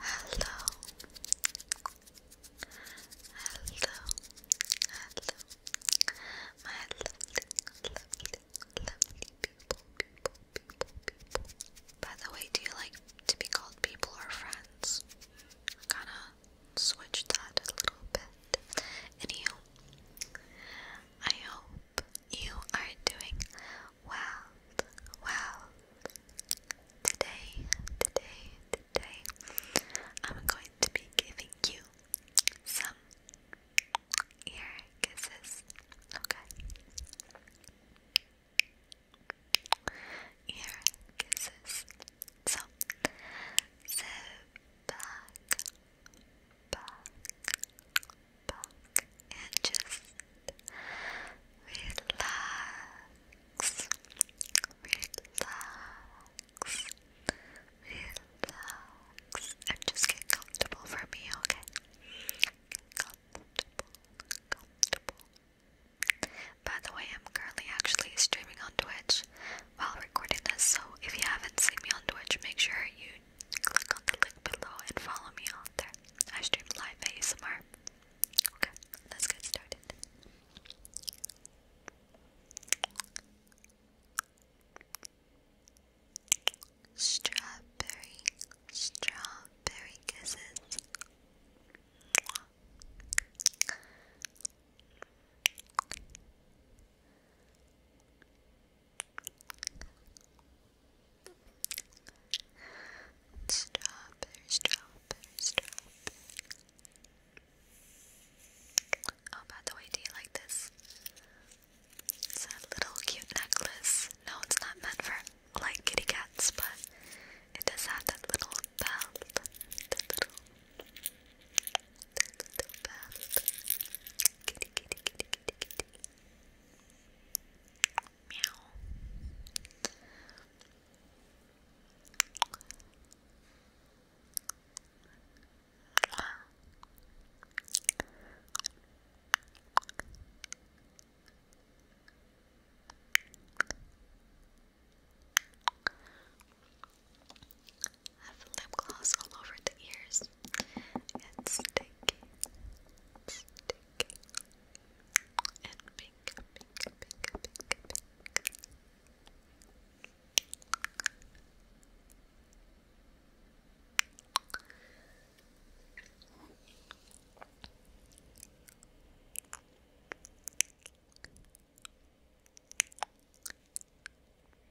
Hello. Hello. Hello. My lovely, lovely, lovely people, people, people, people. By the way, do you like to be called people or friends? I kinda that a little bit. Anywho, I hope you are doing well, well. Today, today, today, I'm going to be giving you some ear kisses. Okay. Ear kisses. So, sit back, back, and just relax, relax, relax, and just get comfortable for me, okay? comfortable, comfortable. By the way, I'm currently actually streaming on Twitch while recording this, so if you haven't seen me on Twitch, make sure you click on the link below and follow me on there. I stream live ASMR. Okay, let's get started. Strawberry, strawberry kisses. Stop! strawberry, strawberry. Oh, by the way, do you like this? It's a little cute necklace. No, it's not meant for like kitty cats, but it does have that little belt. The little, the little belt. Kitty, kitty, kitty, kitty, kitty. Meow. Have lip gloss all over the ears and sticky, sticky, and pink, pink, pink, pink, pink.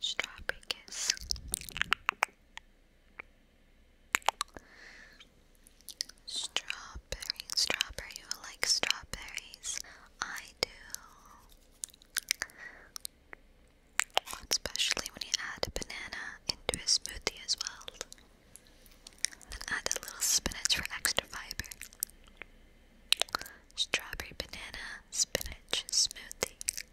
Strawberry kiss. Strawberry, strawberry, you like strawberries? I do. Especially when you add banana into a smoothie as well. add a little spinach for extra fiber. Strawberry banana spinach smoothie.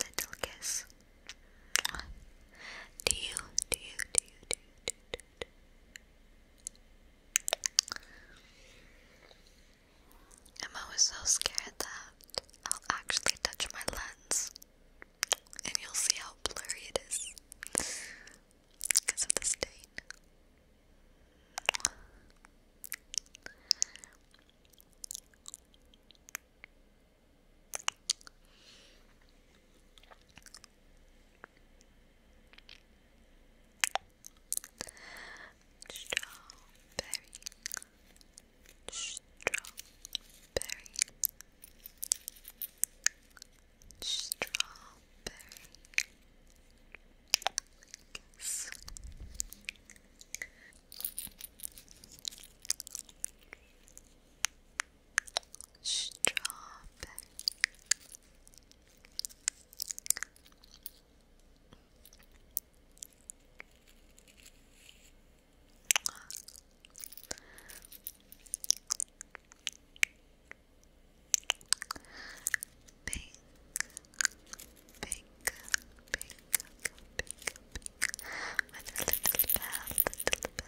Little kiss. Do you, do you, do you, do you, do I'm always so scared that I'll actually touch my lens and you'll see how blurry it is because of the stain. Strawberry Strawberry. Strawberry. Strawberry. Pink, pink, pink, pink, pink. My little bell, little bell. Little bell.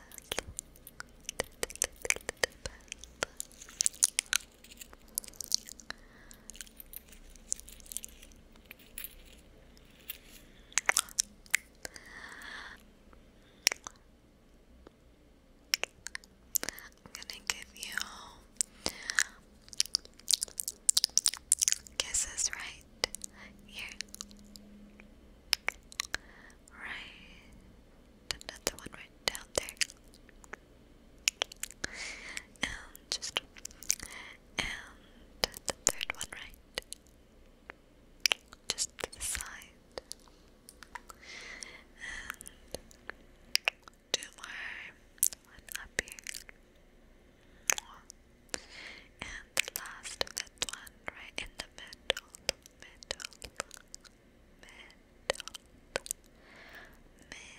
I'm gonna give you kisses right here. Right, another one right down there. And just and the third one right just to the side and two more, one and the last that one right in the middle, middle, middle, middle, middle, right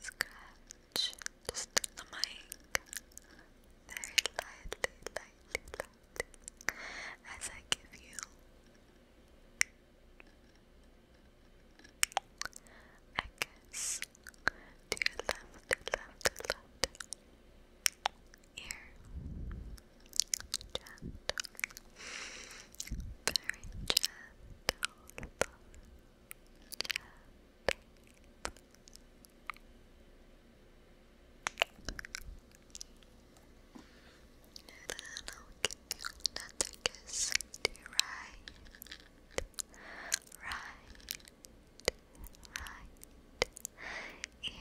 Scratch just the mic very lightly, lightly, lightly as I give you I guess to your left, left, left ear gentle very gentle, gentle. And then I'll give you another kiss to your right, right, right ear.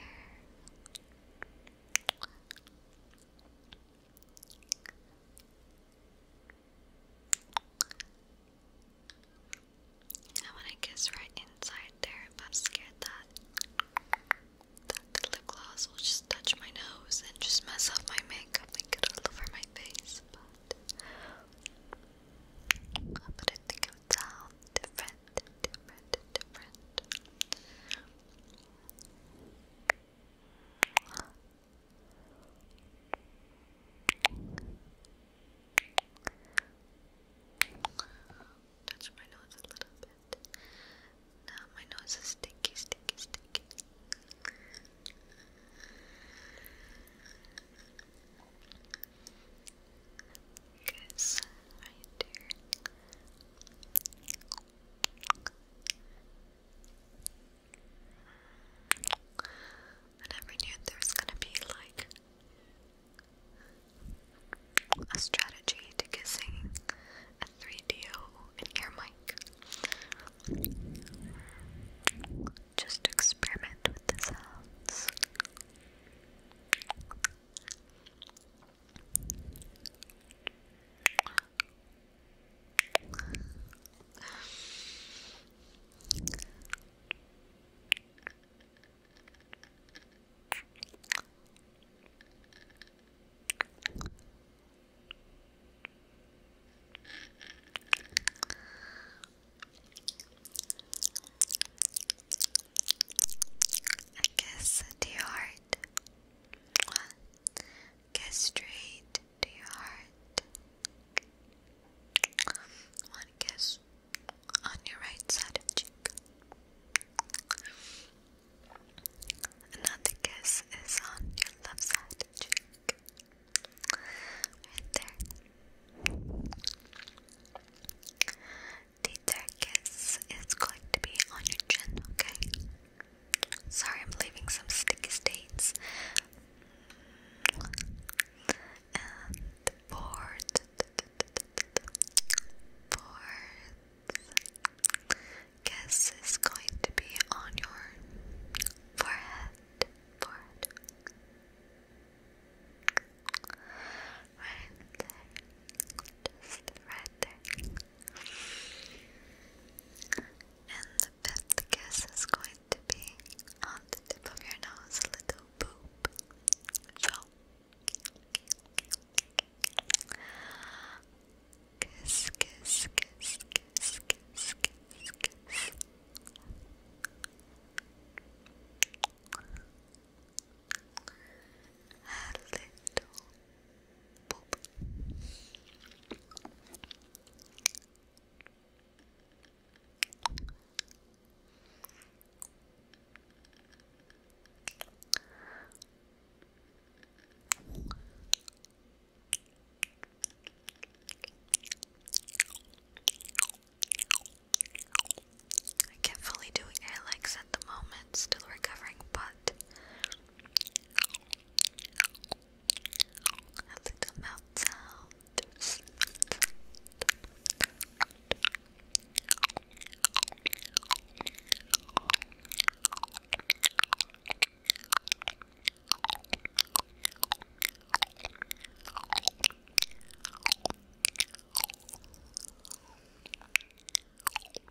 I want to kiss right inside there, I'm scared that that the lip gloss will just touch my nose and just mess up my makeup and get my face. But, but I think it would different, different, different. Touch my nose a little bit. Now my nose is sticky, sticky, sticky. Good, right there. I never knew there was gonna be like a strategy to kissing a 3DO and ear mic. Just experiment with the sounds. A kiss to your Get straight to your heart. One kiss on your right side cheek. Another kiss is on your left side cheek. Right there. The third kiss is going to be on your chin, okay? Sorry, I'm leaving some sticky stains. And board, board. Guess is going to be on your forehead, forehead. Right there, just right there. And the fifth kiss is going to be on the tip of your nose, a little boop. So, kiss, kiss, kiss, kiss, kiss, kiss, kiss. A little Boop. I can't fully do it. I the moment, still recovering, but little mouth sound.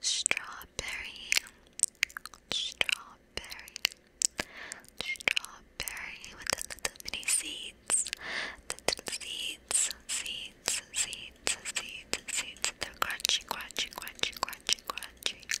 Strawberry, strawberry, strawberry with a little mini seeds, little seeds, seeds, seeds, seeds, seeds. they crunchy, crunchy, crunchy, crunchy, crunchy.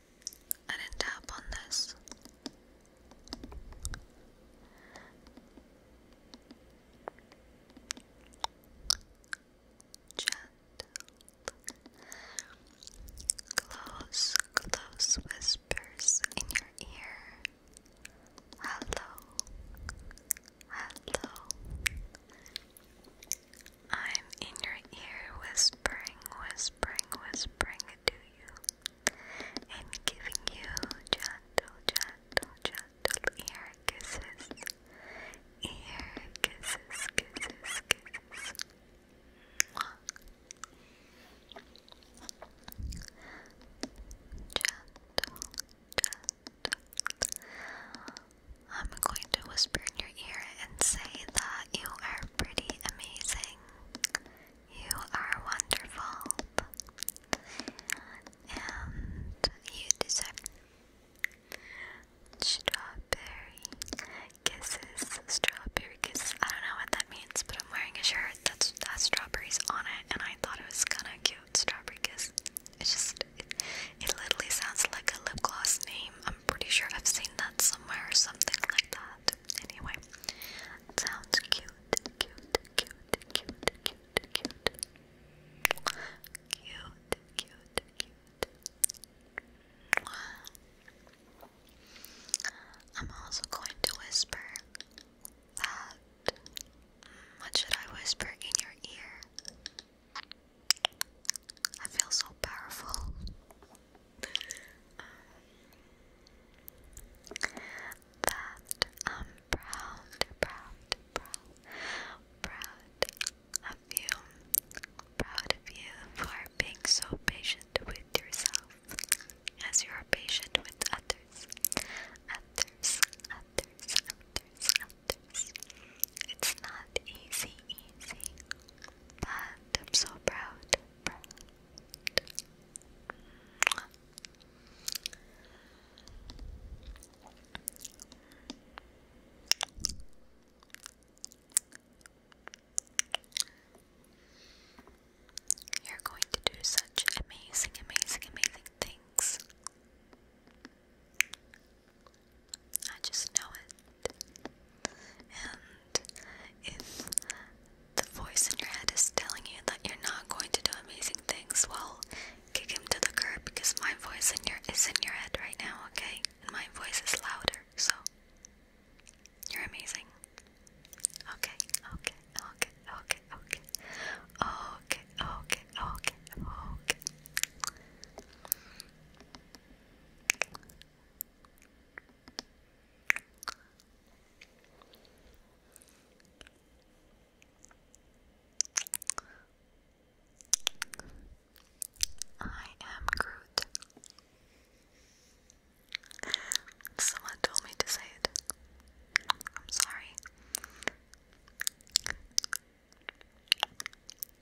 I didn't tap on this. Gentle, close, close whispers in your ear. Hello, hello, I'm in your ear whispering, whispering, whispering to you and giving you gentle, gentle, gentle ear kisses. Ear kisses, kisses, kisses. Gentle, gentle. I'm going to whisper in your ear and say that you are pretty amazing. You are wonderful. And you deserve strawberry kisses. Strawberry kisses. I don't know what that means, but I'm wearing a shirt that's has strawberries on it, and I thought it was kind of cute. Strawberry kiss. It's just, it, it literally sounds like a lip gloss name. I'm I'm pretty sure I've seen that somewhere or something like that. Anyway, sounds cute, cute, cute, cute, cute, cute. Cute, cute, cute. I'm also going to whisper that. What should I whisper in your ear? I feel so powerful. Um, that I'm um, proud, proud, proud, proud of you. Proud of you for being so patient with yourself as you are patient with others. Others, others, others, others. It's not easy, easy. And I'm so proud. Proud. You're going to do such amazing, amazing, amazing things. I just know it. And if the voice in your head is telling you that you're not going to do amazing things, well, kick him to the curb because my voice in your is in your head right now, okay? And my voice is louder, so you're amazing. Okay, okay, okay, okay, okay. Okay, okay, okay, okay. I am Groot. Someone told me to say it. I'm sorry.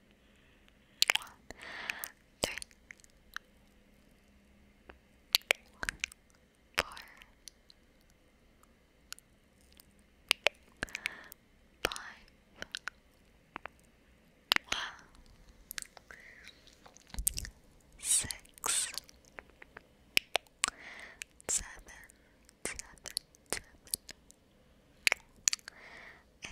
one, three, four, five, six, seven, seven, seven, eight, eight.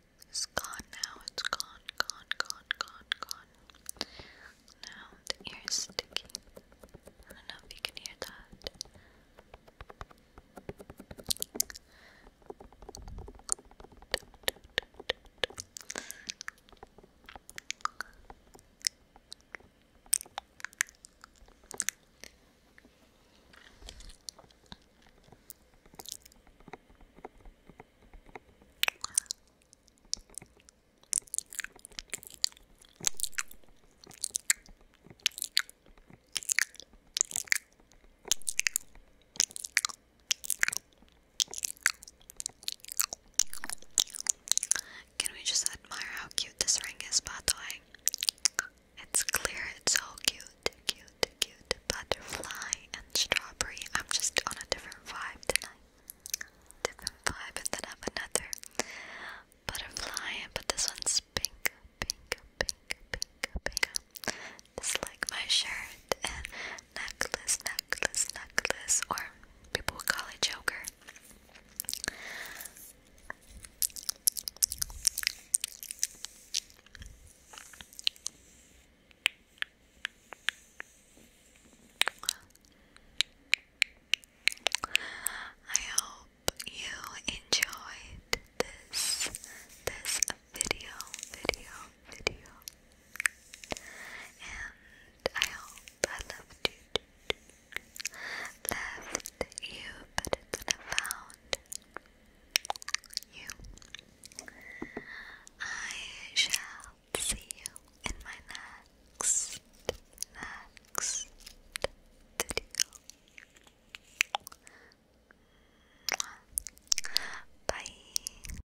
It's gone now. It's gone, gone, gone, gone, gone. Now the ear is sticky. I don't know if you can hear that. Can we just admire how cute this ring is, by the way? It's clear, it's so cute cute, butterfly and strawberry. I'm just on a different vibe tonight. Different vibe, and then I have another butterfly, but this one's pink, pink, pink, pink, pink. It's like my shirt and necklace, necklace, necklace, or people call it joker. I hope you enjoyed this this video video video and I hope I left you left you better than I found you. I shall see you in my next, next video. Bye.